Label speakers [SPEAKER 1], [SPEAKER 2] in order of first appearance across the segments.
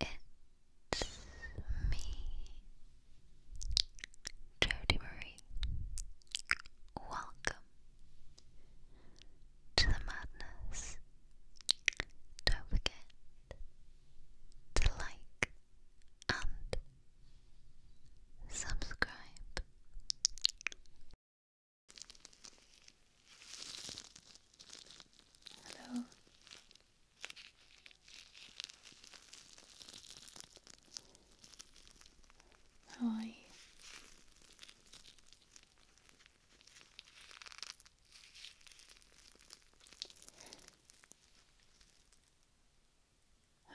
[SPEAKER 1] It's me, Jody Marie. Welcome to the madness. Don't forget to like and subscribe. Hello. How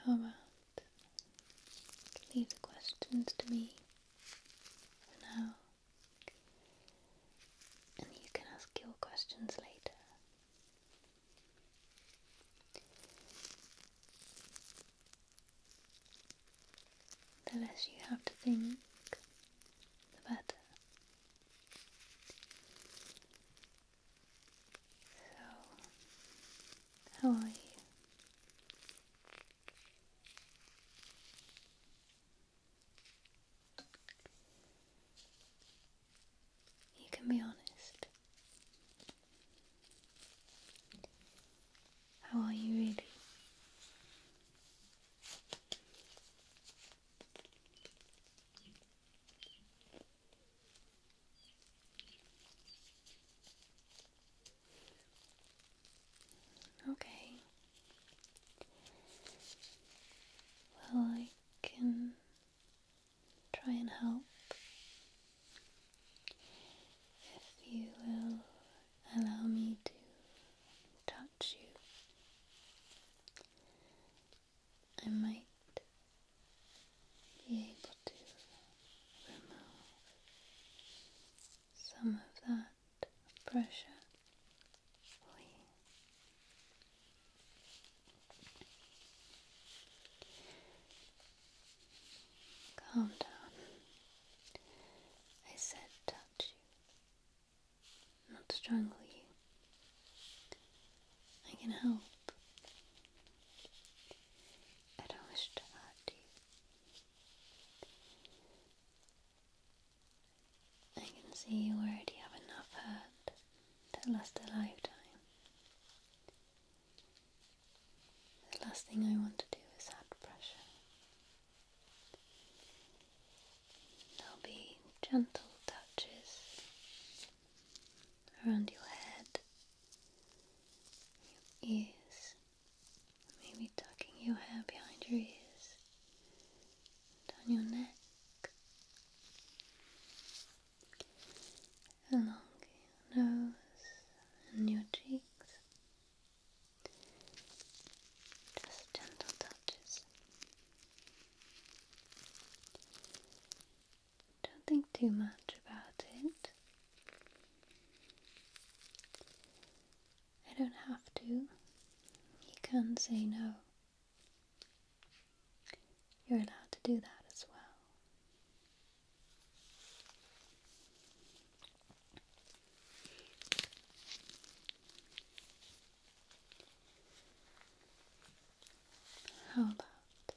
[SPEAKER 1] How about leave the questions to me for now? And you can ask your questions later. The less you have to think, the better. So, how are you? You can be honest. How are you really? Okay. Well, I can try and help if you will allow me to touch you. I might be able to remove some of that pressure Calm down. I said touch you, not strangle you. I can help. I don't wish to hurt you. I can see you already have enough hurt to last a lifetime. The last thing I want to do is add pressure. There'll be gentle touches around your head, your ears, Maybe tucking your hair behind your ears down your neck along your nose and your cheeks just gentle touches don't think too much about it I don't have to. You can say no. You're allowed to do that as well. How about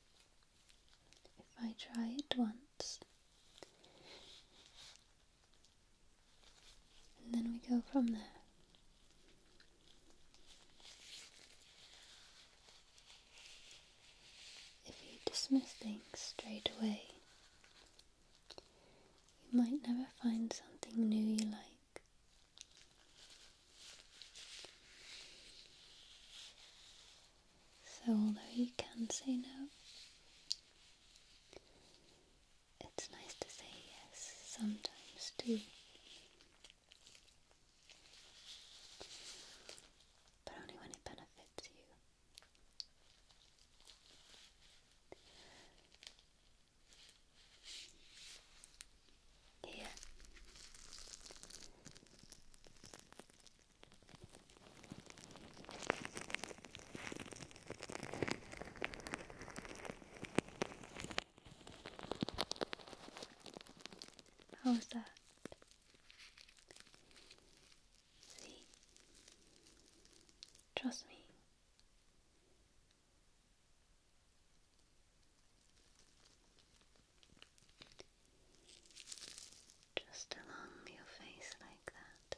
[SPEAKER 1] if I try it once and then we go from there. If you dismiss things straight away, you might never find something new you like. So, although you can say no, it's nice to say yes sometimes too. But only when it benefits you. Here. How's that? See? Trust me. Just along your face like that.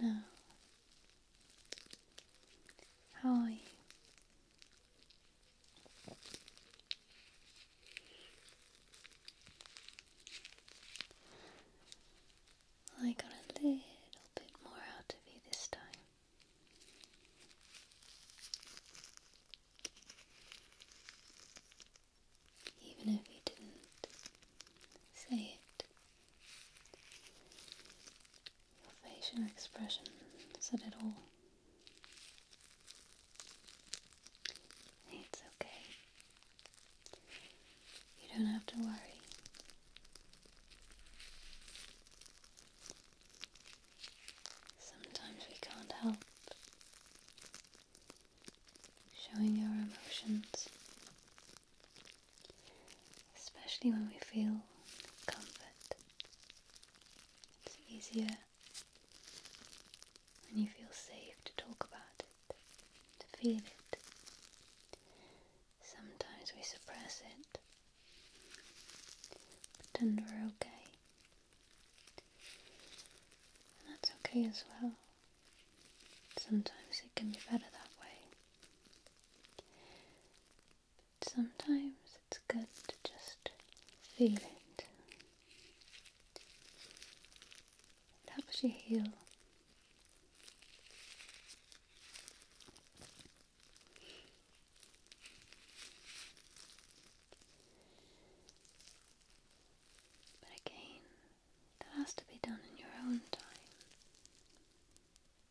[SPEAKER 1] No. how are you? I got a little bit more out of you this time. Even if you didn't say it, your facial expression said it all. It's okay. You don't have to worry. Sometimes we can't help showing our emotions especially when we feel comfort. It's easier when you feel safe to talk about it, to feel it. Sometimes we suppress it, pretend we're okay. And that's okay as well. Sometimes it can be better that way. Sometimes it's good to just feel it. It helps you heal. But again, that has to be done in your own time.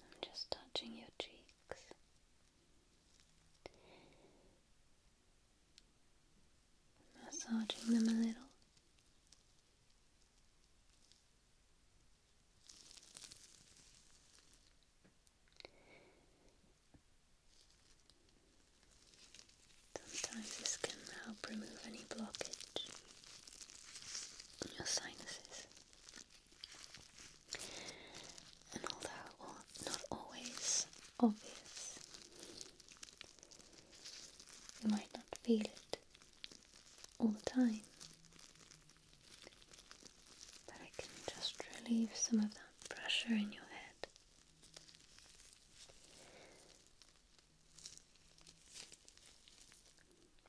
[SPEAKER 1] I'm just touching your cheeks. Massaging them a little. Sometimes this can help remove any blockage in your sinuses. And although not always obvious, you might not feel it all the time, but it can just relieve some of that pressure in your head.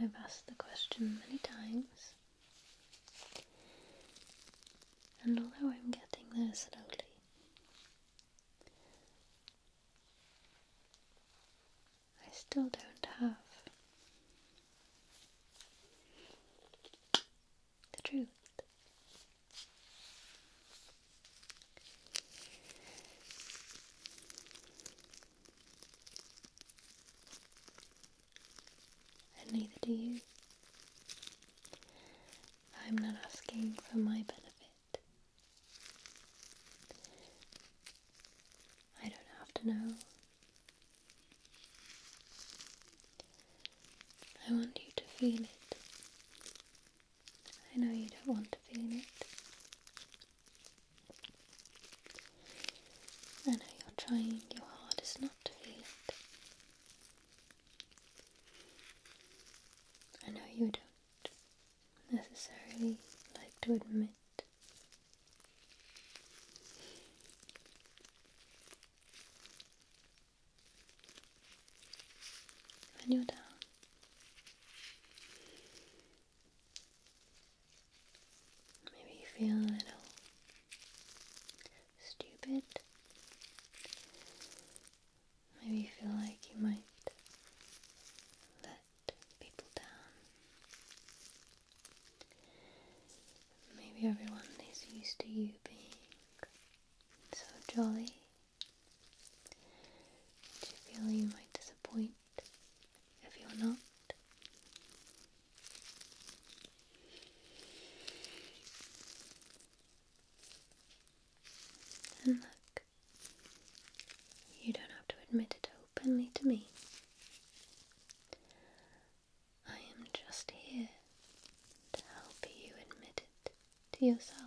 [SPEAKER 1] I've asked the question many times, and although I'm getting there slowly, I still don't have the truth neither do you. I'm not asking for my benefit. I don't have to know. I want you to feel it. I know you don't want to feel it. I know you're trying your hardest not to feel it. I know you don't necessarily like to admit when you're down. Maybe you feel a little stupid. Maybe you feel like you might let people down. Maybe everyone is used to you being so jolly. Do you feel you might disappoint if you're not. And look, you don't have to admit it openly to me. I am just here to help you admit it to yourself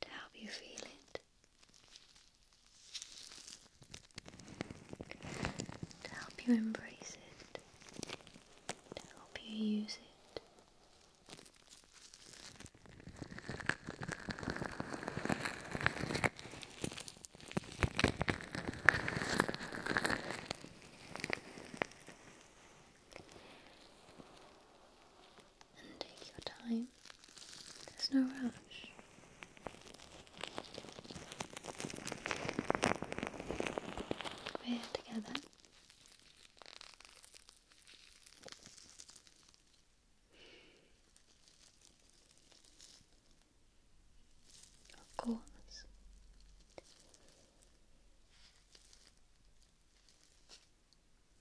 [SPEAKER 1] to help you feel it, to help you embrace it, to help you use it and take your time. There's no rush. We're together. Of course.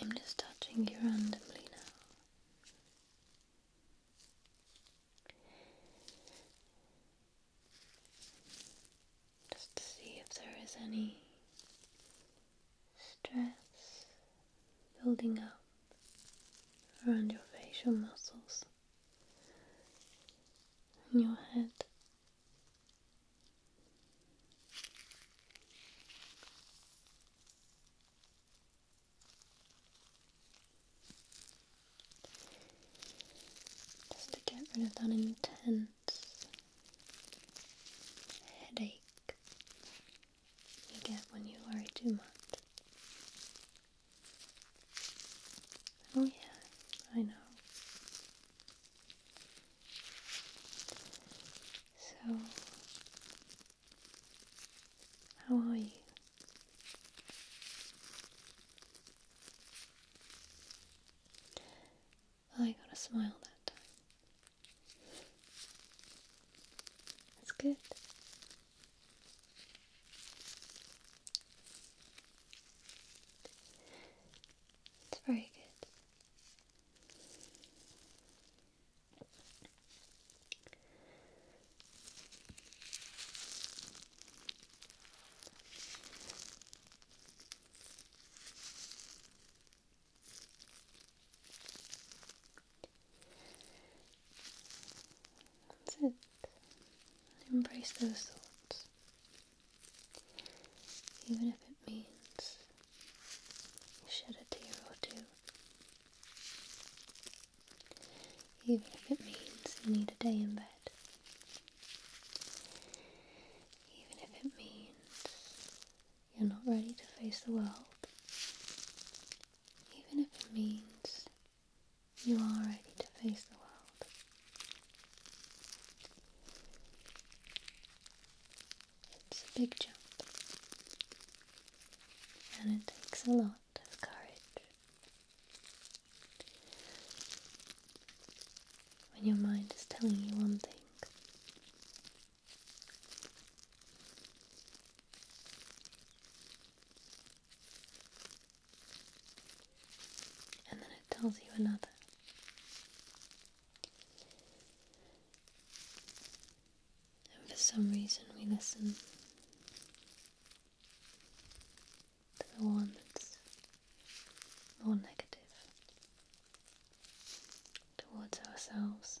[SPEAKER 1] I'm just touching you randomly now. Just to see if there is any stress building up around your facial muscles and your head. Just to get rid of that intense headache you get when you worry too much. Oh, yeah, I know. So, how are you? I got a smile that time. That's good. It's very good. That's it. Embrace those thoughts. Even if it means you shed a tear or two. Even if it means you need a day in bed. Even if it means you're not ready to face the world even if it means you are ready to face the world. It's a big jump, and it takes a lot of courage. When your mind is telling you one thing, and then it tells you another. And for some reason, we listen to the one that's more negative towards ourselves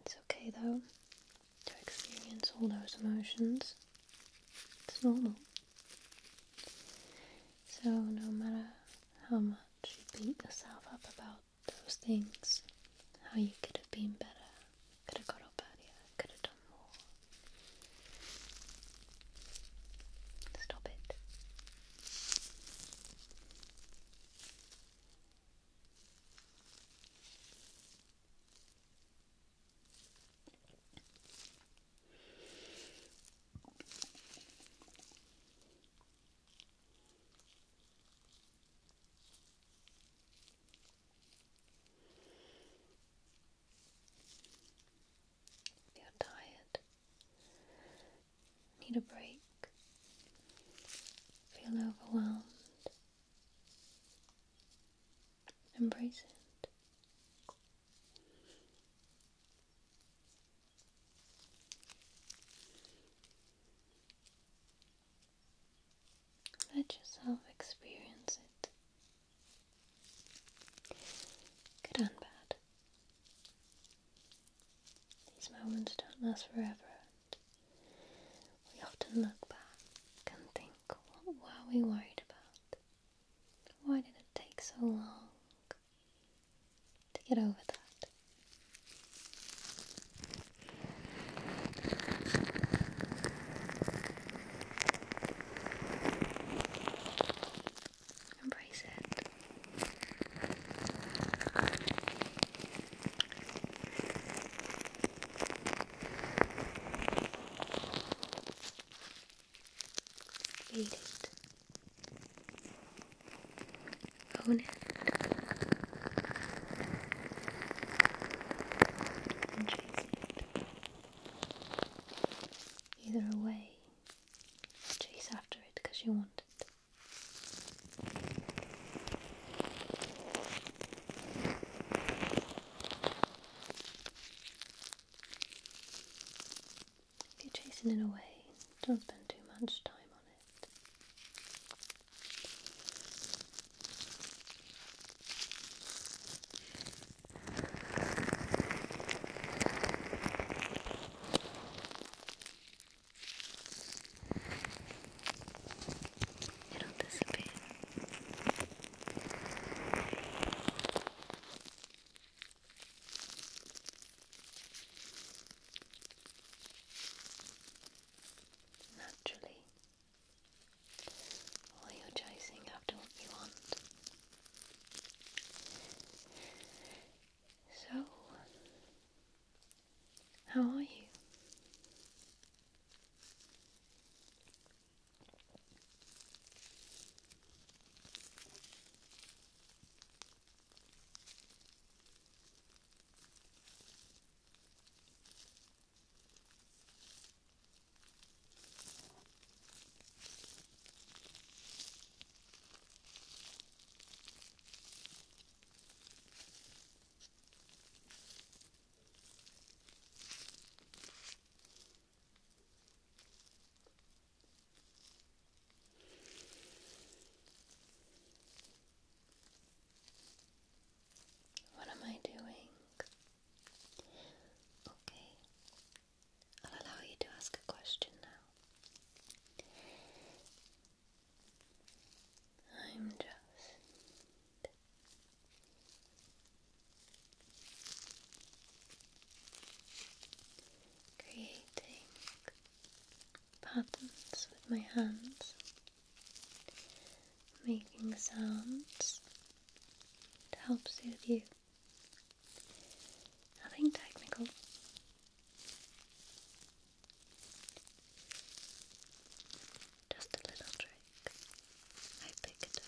[SPEAKER 1] It's okay though to experience all those emotions. It's normal. So, no matter how much you beat yourself up about those things, how you could have been better, could have got up earlier, could have done more, stop it. If tired, need a break, feel overwhelmed, Embrace it. Let yourself experience it. Good and bad. These moments don't last forever. We often look back and think, what were we worried about? Why did it take so long to get over that? Embrace it. Read it. it. Embrace it. Either away, chase after it because you want it. If you're chasing it away, don't spend too much time on it. It'll disappear. Naturally, all you're chasing after what you want. So, how are you? What am I doing? Okay, I'll allow you to ask a question now. I'm just creating patterns with my hands, making sounds to help soothe you. Nothing technical. Just a little trick. I pick it up.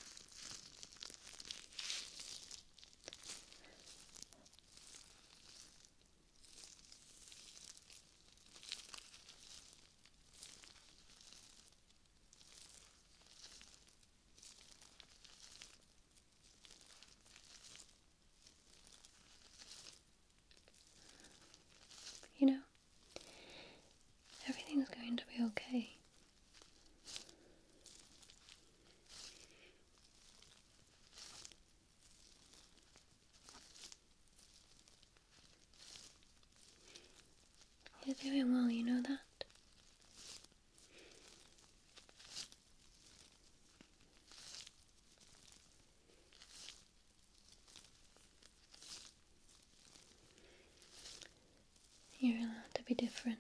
[SPEAKER 1] You know, everything's going to be okay. You're doing well, you know that? You're allowed to be different.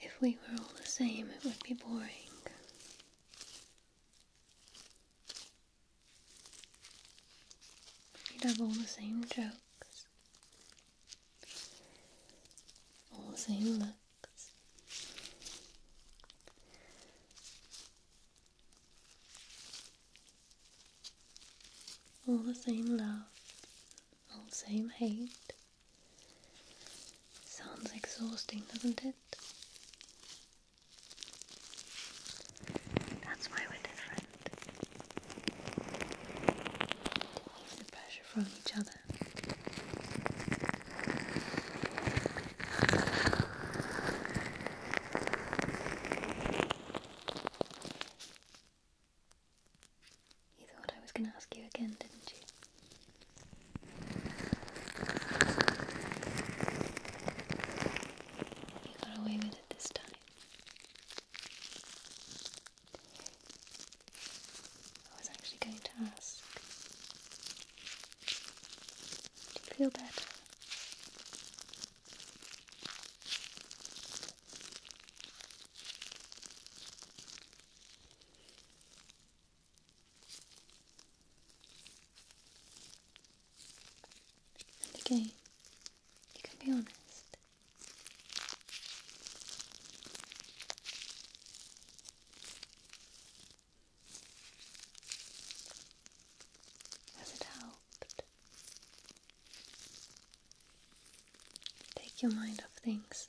[SPEAKER 1] If we were all the same, it would be boring. You'd have all the same jokes, also looks all the same love, all the same hate. Sounds exhausting, doesn't it? That's why we're different the pressure from each other. You thought I was going to ask you again, didn't you? You got away with it this time. I was actually going to ask, do you feel better? And again, you can be honest. Has it helped? Take your mind off things.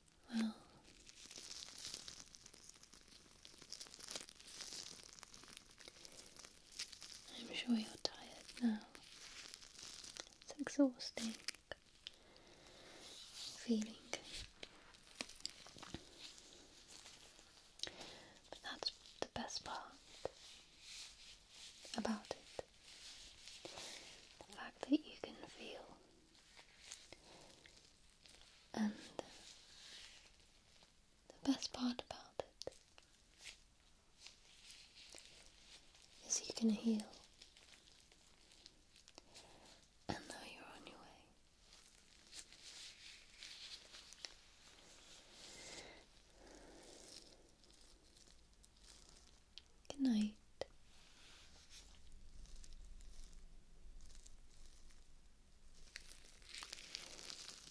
[SPEAKER 1] Well, I'm sure you're tired now. It's exhausting feeling. But that's the best part about it. The fact that you can feel and the best part about it is you can heal. And now you're on your way. Good night.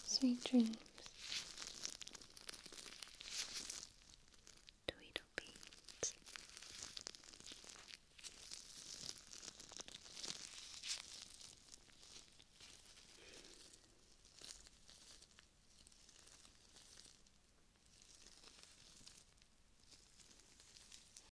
[SPEAKER 1] Sweet dreams. Tweedlebeats.